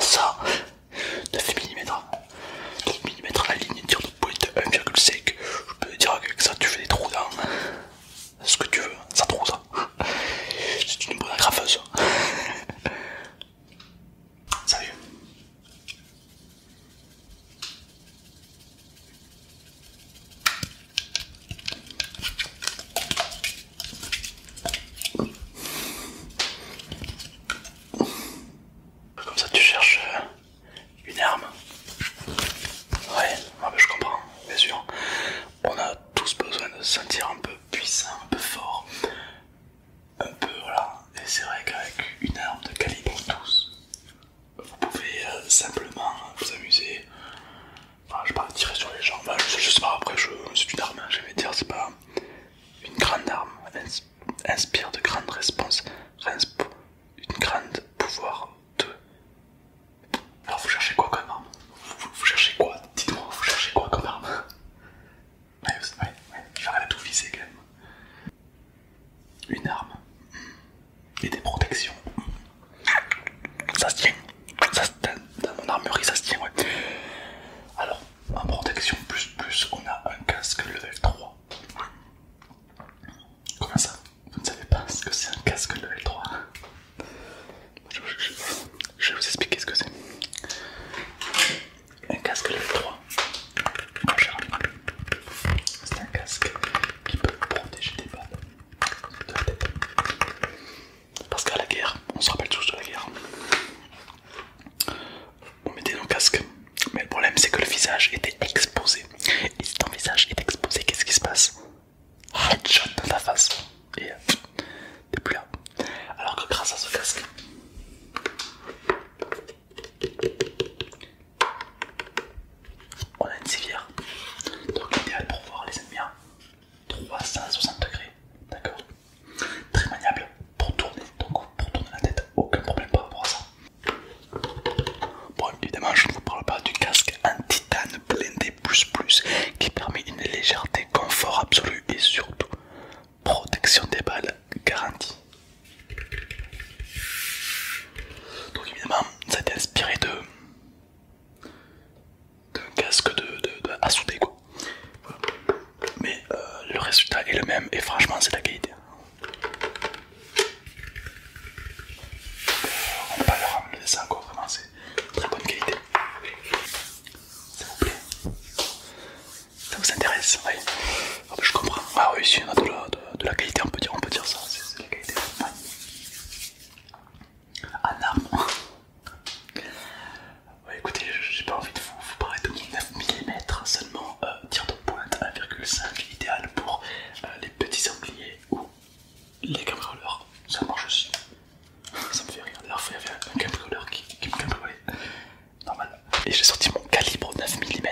Ça, 9 mm. 9 mm la ligne tire de pointe 1,5. Je peux te dire que ça tu fais des trous dans ce que tu veux, ça trouve ça. C'est une bonne agrafeuse. salut comme ça tu cherches euh, une arme. Ouais, je comprends, bien sûr. On a tous besoin de se sentir un peu puissant, un peu fort. Un peu voilà. Et c'est vrai qu'avec une arme de calibre tous, vous pouvez euh, simplement vous amuser Enfin, je sais pas, tirer sur les jambes, je, sais pas, après, c'est une arme, hein, je vais dire, c'est pas une grande arme. inspire de grandes réponses. une grande pouvoir de. Alors, vous cherchez quoi comme arme vous, cherchez quoi Dites-moi, vous cherchez quoi comme arme Ouais, ouais, va j'arrive tout viser quand même. Une arme. Et des protections. Ça se tient. Ça, dans mon armure ça se tient, ouais. Alors, en protection plus plus, on a un casque level 3. Comment ça Vous ne savez pas ce que c'est un casque level 3 je, vais vous expliquer ce que c'est. Un casque level 3. C'est un casque qui peut protéger des balles de la tête. Parce qu'à la guerre, on se rappelle tous de la guerre, on mettait nos casques. Mais le problème, c'est que le visage était exposé. Et si ton visage est exposé, qu'est-ce qui se passe Headshot dans ta face. Et euh, t'es plus là. Alors que grâce à ce casque, on a une civière. Donc l'idéal pour voir les ennemis. Hein, 360 degrés, d'accord Très maniable pour tourner, donc pour tourner la tête, aucun problème par rapport à ça. Bon, évidemment, je ne vous parle pas du casque en titane blindé plus plus qui permet une légèreté, confort absolu et surtout protection des balles garantie. Donc évidemment, ça a été inspiré de d'un casque de, de, à souder quoi. Mais euh, le résultat est le même et franchement c'est la qualité. Euh, on pas le leur le ça quoi vraiment c'est très bonne qualité. Ça vous plaît Ça vous intéresse Oui. Ah, bah, je comprends. Ah oui, si on a de la, de, la qualité, on peut dire, on peut dire ça. C'est la qualité. Un ah, arme. ouais, écoutez, j'ai pas envie de vous, parler de 9 mm, seulement euh, tir de pointe 1,5, idéal pour euh, les petits angliers ou les cambrioleurs. Ça marche aussi. Ça me fait rire. D'ailleurs, il y avait un cambrioleur qui, qui me Normal. Et j'ai sorti mon calibre 9 mm.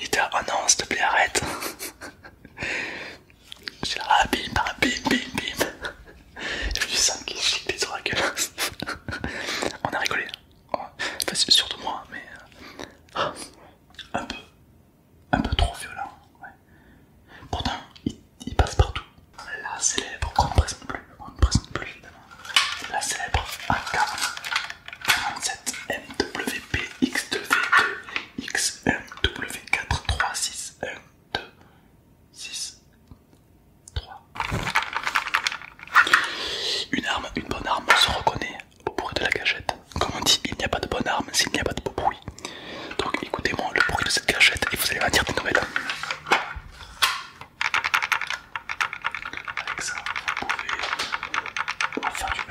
Et t'as, oh non, s'il te plaît, arrête. J'ai là, ah, bim, bim, bim, bim. j'ai je du sang qu'il chique des oracles. On a rigolé. sûr surtout moi, mais. Euh, un peu. Un peu trop violent. Pourtant, il, passe partout. La célèbre qu'on ne présente plus. On ne présente plus, La célèbre AK47MWPX2V2 W 4 3 6 1, 2, 6, 3. Une arme, une bonne arme se reconnaît au bruit de la gâchette. Comme on dit, il n'y a pas de bonne arme s'il n'y a pas de beau bruit. Donc écoutez-moi le bruit de cette gâchette et vous allez m'attirer des nouvelles. Avec ça, vous pouvez faire du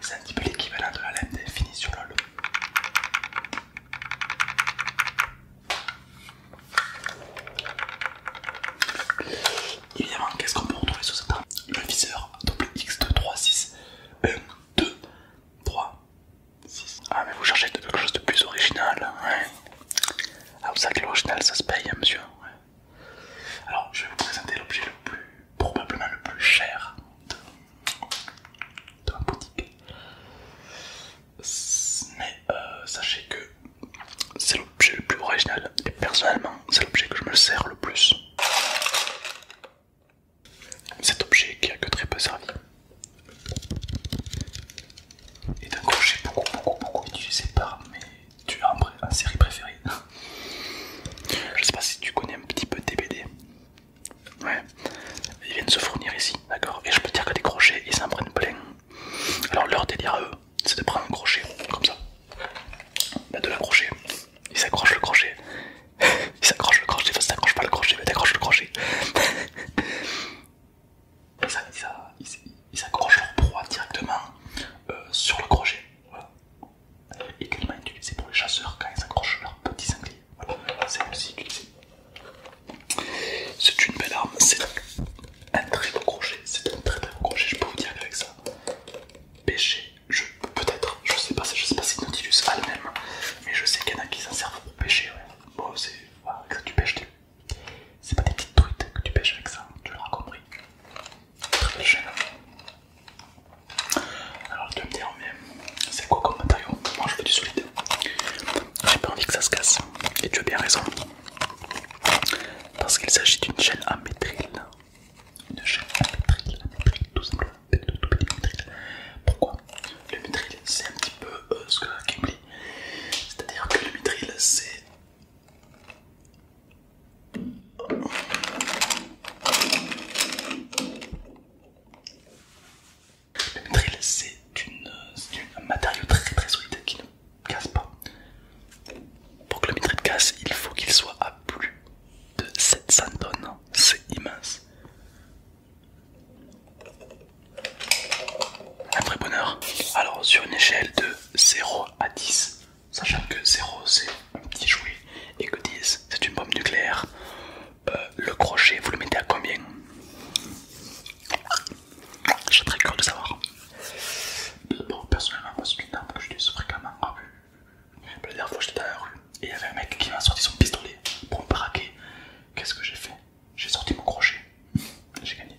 c'est un petit peu l'équivalent de la lente finie sur LOL. Évidemment, qu'est-ce qu'on peut retrouver sous cette arme Le viseur double X2, 3, 6, 1, 2, 3, 6. Ah, mais vous cherchez quelque chose de plus original, ouais. Hein? Ah, vous savez que l'original ça se paye, hein, monsieur. Alors, je vais vous présenter l'objet le plus, probablement le plus cher de, ma boutique. Mais euh, sachez que c'est l'objet le plus original et personnellement, c'est l'objet que je me sers le plus. Cet objet qui a que très peu servi est un crochet beaucoup, beaucoup, beaucoup utilisé par mes tu as en, série préférée Je sais pas si tu connais un petit peu TBD. Ouais, ils viennent se fournir ici, d'accord Et je peux dire que des crochets, ils s'en prennent plein. Alors leur délire à eux, c'est de prendre un crochet, comme ça. Bah, de l'accrocher. Ils s'accrochent le crochet. Ils s'accrochent le crochet, enfin si pas le crochet, mais t'accroches le crochet. Ils s'accrochent leur proie directement euh, sur le crochet également utilisé pour les chasseurs quand ils accrochent leurs petits sangliers. Voilà, c'est aussi utilisé. C'est une belle arme, c'est un très beau crochet, c'est un très très crochet, je peux vous dire qu'avec ça, pêcher, je peut-être, je sais pas, je sais pas si Nautilus a le même, mais je sais qu'il y en a qui s'en servent pour pêcher, Bon, c'est tu pêches, c'est pas des petites truites que tu pêches avec ça, tu l'auras compris très Alors tu vas me dire mais c'est quoi comme matériau Moi je veux du solide. J'ai pas envie que ça se casse. Et tu as bien raison. Parce qu'il s'agit d'une chaîne à métrile, Une chaîne à métrile, tout simplement. Tout petit métrile Pourquoi Le métrile c'est un petit peu euh, ce que Kimli. C'est-à-dire que le métrile c'est le métril c'est un matériau très très solide qui ne casse pas. Pour que le métril casse, il faut qu'il soit à plus de 700 tonnes. C'est immense. Un vrai bonheur. Alors sur une échelle de 0 à 10, sachant que 0 c'est un petit jouet et que 10 c'est une bombe nucléaire, euh, le crochet vous le mettez à combien J'ai très curieux de savoir. Bon, personnellement, moi c'est une arme que j'utilise fréquemment en ah, rue. La dernière fois j'étais dans la rue et il y avait un mec qui m'a sorti son pistolet pour me paraquer. Qu'est-ce que j'ai fait J'ai sorti mon crochet, j'ai gagné.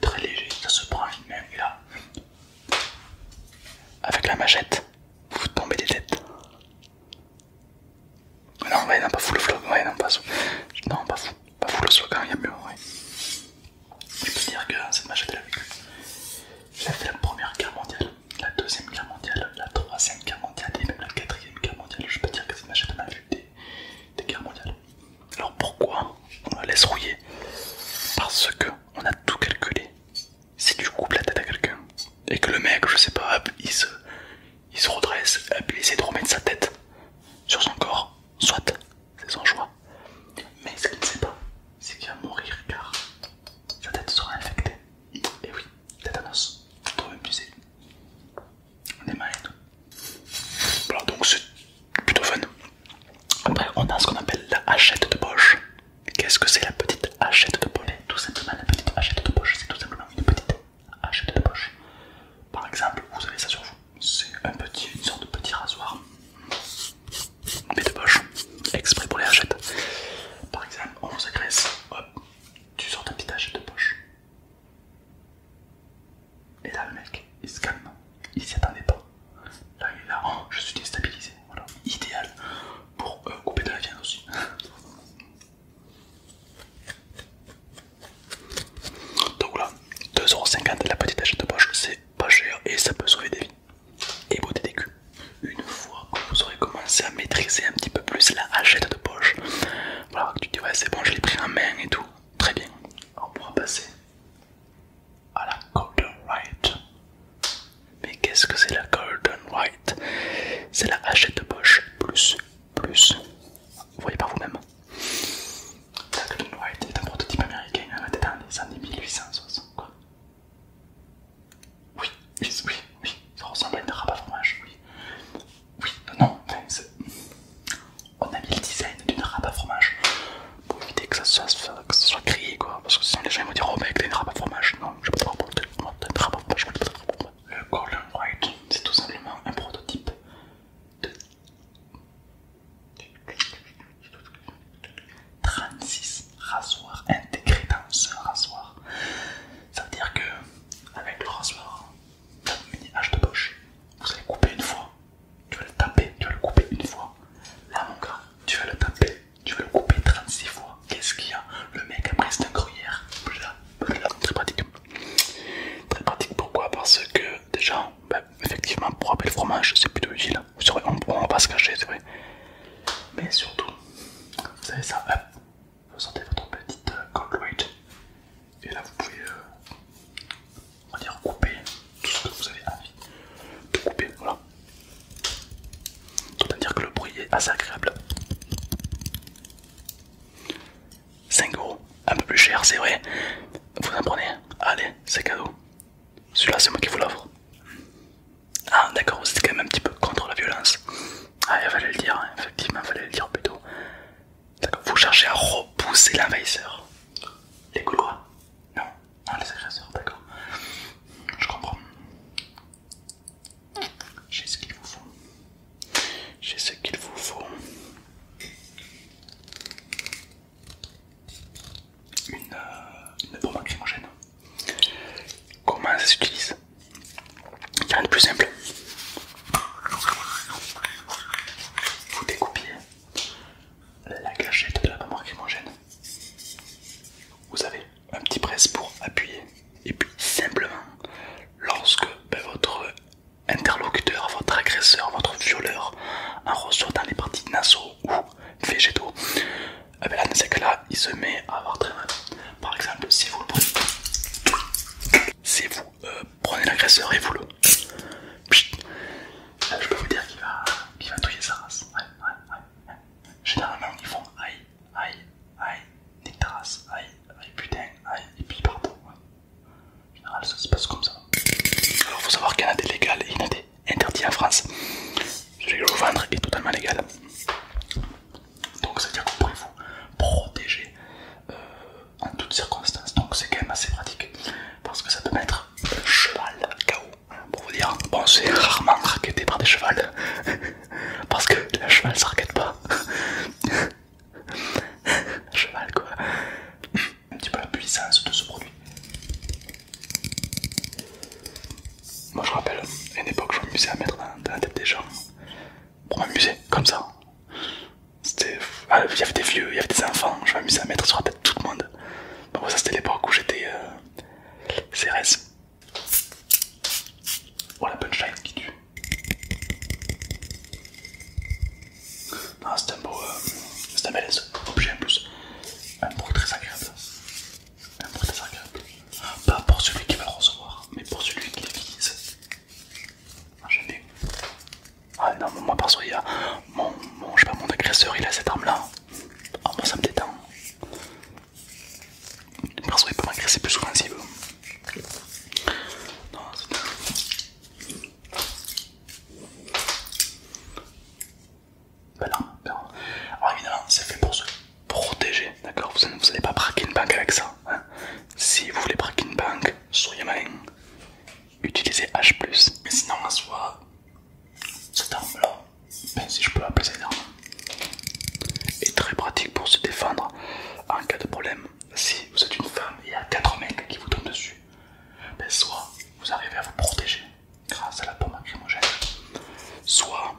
très léger, ça se prend une même et là, avec la machette, vous tombez des têtes. Non, ouais, non, pas fou le ouais, non, pas fou. Non, pas fou, pas fou le flot quand il y a mieux, ouais. Je peux dire que cette machette, elle a vécu. fait la première guerre mondiale, la deuxième guerre mondiale, la troisième guerre mondiale et même la quatrième guerre mondiale. Je peux dire que cette machette, elle a vécu des des, guerres mondiales. Alors pourquoi on la laisse rouiller Parce que on a tout calculé. Si tu coupes la tête à quelqu'un et que le mec, je sais pas, il, se, il se redresse, il essaie de remettre sa tête sur son corps, soit, c'est son choix. Mais ce qu'il ne sait pas, c'est qu'il va mourir car sa tête sera infectée. Et oui, tétanos, trop abusé est mal donc c'est plutôt fun. Après, on a ce qu'on appelle la hachette de poche. Qu'est-ce que c'est la petite hachette de poche Tout simplement, la petite hachette de poche, c'est tout simplement une petite hachette de poche. Par exemple, vous avez ça sur vous. C'est une sorte de petit rasoir, de poche, exprès pour les hachettes. Par exemple, on vous agresse, hop, tu sors ta petite hachette de poche. Et là, le mec, il se calme, il s'y attendait pas. Là, il est là, oh, je suis déstabilisé. Voilà, idéal pour euh, couper de la viande aussi. Donc là, 2,50€ la petite hachette de poche, c'est pas cher et ça peut sauver des vies. Et beauté des culs. Une fois que vous aurez commencé à maîtriser un petit peu plus la hachette de poche, voilà, tu dis c'est bon, je l'ai pris en main et tout. Très bien. On pourra passer à la Golden White. Mais qu'est-ce que c'est la Golden White C'est la hachette poche plus plus. Vous voyez par vous-même. La Golden White est un prototype américain hein, été dans les années 1860. Quoi oui, oui, oui, ça ressemble à une rabat fromage, oui. Oui, non, on a mis le design d'une râpe à fromage pour éviter que ça soit, que soit quoi. Parce que sinon les gens vont dire Oh mec, t'as une râpe à fromage. Non, je peux pas porter une râpe à fromage. Le Golden White, c'est tout simplement un prototype de 36 rasoirs intégrés dans un rasoir. Ça veut dire que, avec le rasoir, mini de ah, poche. Vous allez couper une fois. Tu vas le taper, tu vas le couper une fois. Là mon gars, tu vas le taper, tu vas le couper 36 fois. Qu'est-ce qu'il y a Le mec après c'est un gruyère. Très pratique. Très pratique pourquoi Parce que déjà, bah, effectivement pour appeler le fromage c'est plutôt utile. On, ne va se cacher, c'est vrai. Mais surtout, vous savez ça, vous sortez votre petite euh, cold et là vous pouvez euh, on va dire couper tout ce que vous avez envie de couper, voilà. Autant dire que le bruit est assez agréable. 5 euros, un peu plus cher, c'est vrai. Vous en prenez Allez, c'est cadeau. Celui-là, c'est moi qui vous l'offre. Ah, d'accord, vous êtes quand même un petit peu contre la violence. Ah, il fallait le dire, hein. effectivement, il fallait le dire plutôt. D'accord, vous cherchez à repousser l'envahisseur. Les Gaulois Non, non, les agresseurs, d'accord. Je comprends. J'ai ce qu'il vous faut. J'ai ce qu'il vous faut. Une, pomme euh, une bombe lacrymogène. Comment ça s'utilise il y a un de plus simple. Vous découpiez la gâchette de la maman crimogène. Vous avez un petit presse pour appuyer. Et puis simplement, lorsque ben, votre interlocuteur, votre agresseur, votre violeur en ressort dans les parties nasaux ou végétaux, eh ben, là il se met à avoir très mal. Par exemple, si vous le prenez, euh, l'agresseur et vous le. Là, je peux vous dire qu'il va, qu'il va touiller sa race. Ouais, ouais, ouais. Généralement, ils font aïe, aïe, aïe, nique ta aïe, aïe, putain, aïe, et puis partout. En général, ça se passe comme ça. Alors, il faut savoir qu'un AD légal et un AD interdit en France. je vais vous vendre est totalement légal. Donc ça veut dire que vous pouvez vous protéger euh, en toutes circonstances. Donc c'est quand même assez pratique parce que ça peut mettre cheval chaos, hein, Pour vous dire, bon c'est rarement raqueté par des chevals parce que le cheval ça raquette pas. cheval quoi. Un petit peu la puissance de ce produit. Moi je rappelle, à une époque je m'amusais à mettre dans, la tête des gens hein, pour m'amuser, comme ça. C'était... Ah, il y avait des vieux, il y avait des enfants, je m'amusais à mettre sur la tête de tout le monde. Bon, ça c'était l'époque où j'étais euh, CRS. Oh la punchline qui tue. C'était c'est un beau... Euh, c'est un bel objet en plus. Un bruit très agréable. Pas pour celui qui va le recevoir, mais pour celui qui l'utilise vise. Ah, J'aime Ah non, moi perso, il a mon, mon, agresseur, il a cette arme là. Ah, moi ça me détend. Perso, il peut m'agresser plus souvent s'il veut. Non, c'est bah Alors évidemment, c'est fait pour se protéger, d'accord Vous n'allez pas braquer une banque avec ça. Hein. si vous voulez braquer une banque, soyez malin. Utilisez H+. Mais sinon, soit cette arme-là, ben, si je peux appeler cette arme, est très pratique pour se défendre en cas de problème. Si vous êtes une femme et il y a 4 mecs qui vous tombent dessus, ben soit vous arrivez à vous protéger grâce ah, à la pomme macrymogène, hein, soit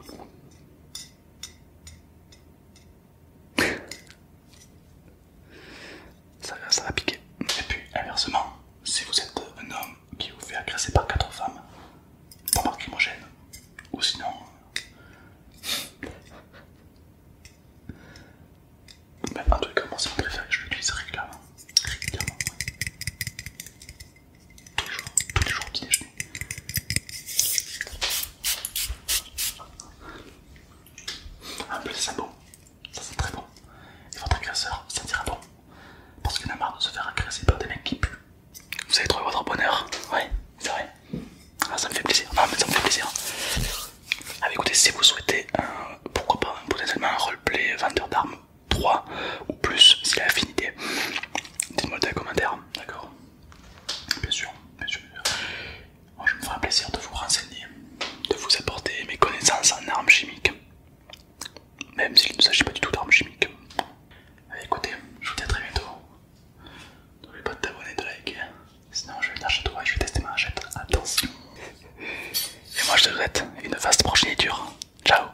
ça, va piquer. Et puis inversement, si vous êtes un homme qui vous fait agresser par quatre femmes, pomme macrymogène, ou sinon mais en tout cas moi c'est mon préféré, je l'utilise régulièrement tous les jours, tous les jours au petit déjeuner. Un ça sent bon, ça sent très bon. Et votre agresseur dira bon. Parce qu'il a marre de se faire agresser par des mecs qui puent. Vous avez trouver votre bonheur oui c'est vrai. Ah, ça me fait plaisir. Non, ah, mais ça me fait plaisir. Ah, écoutez, si vous souhaitez, un, pourquoi pas, potentiellement un roleplay vendeur d'armes 3 ou plus si a affinité. Dites-moi dans les commentaires, d'accord Bien sûr, bien sûr. Moi, je me ferai plaisir de vous renseigner, de vous apporter mes connaissances en armes chimiques, même s'il ne s'agit pas du tout d'armes chimiques. Eh, écoutez, je vous dis à très bientôt. N'oublie pas de t'abonner, de liker, sinon je vais venir chez je vais tester ma chaîne. Attention! Et moi, je te souhaite une vaste progéniture. Ciao!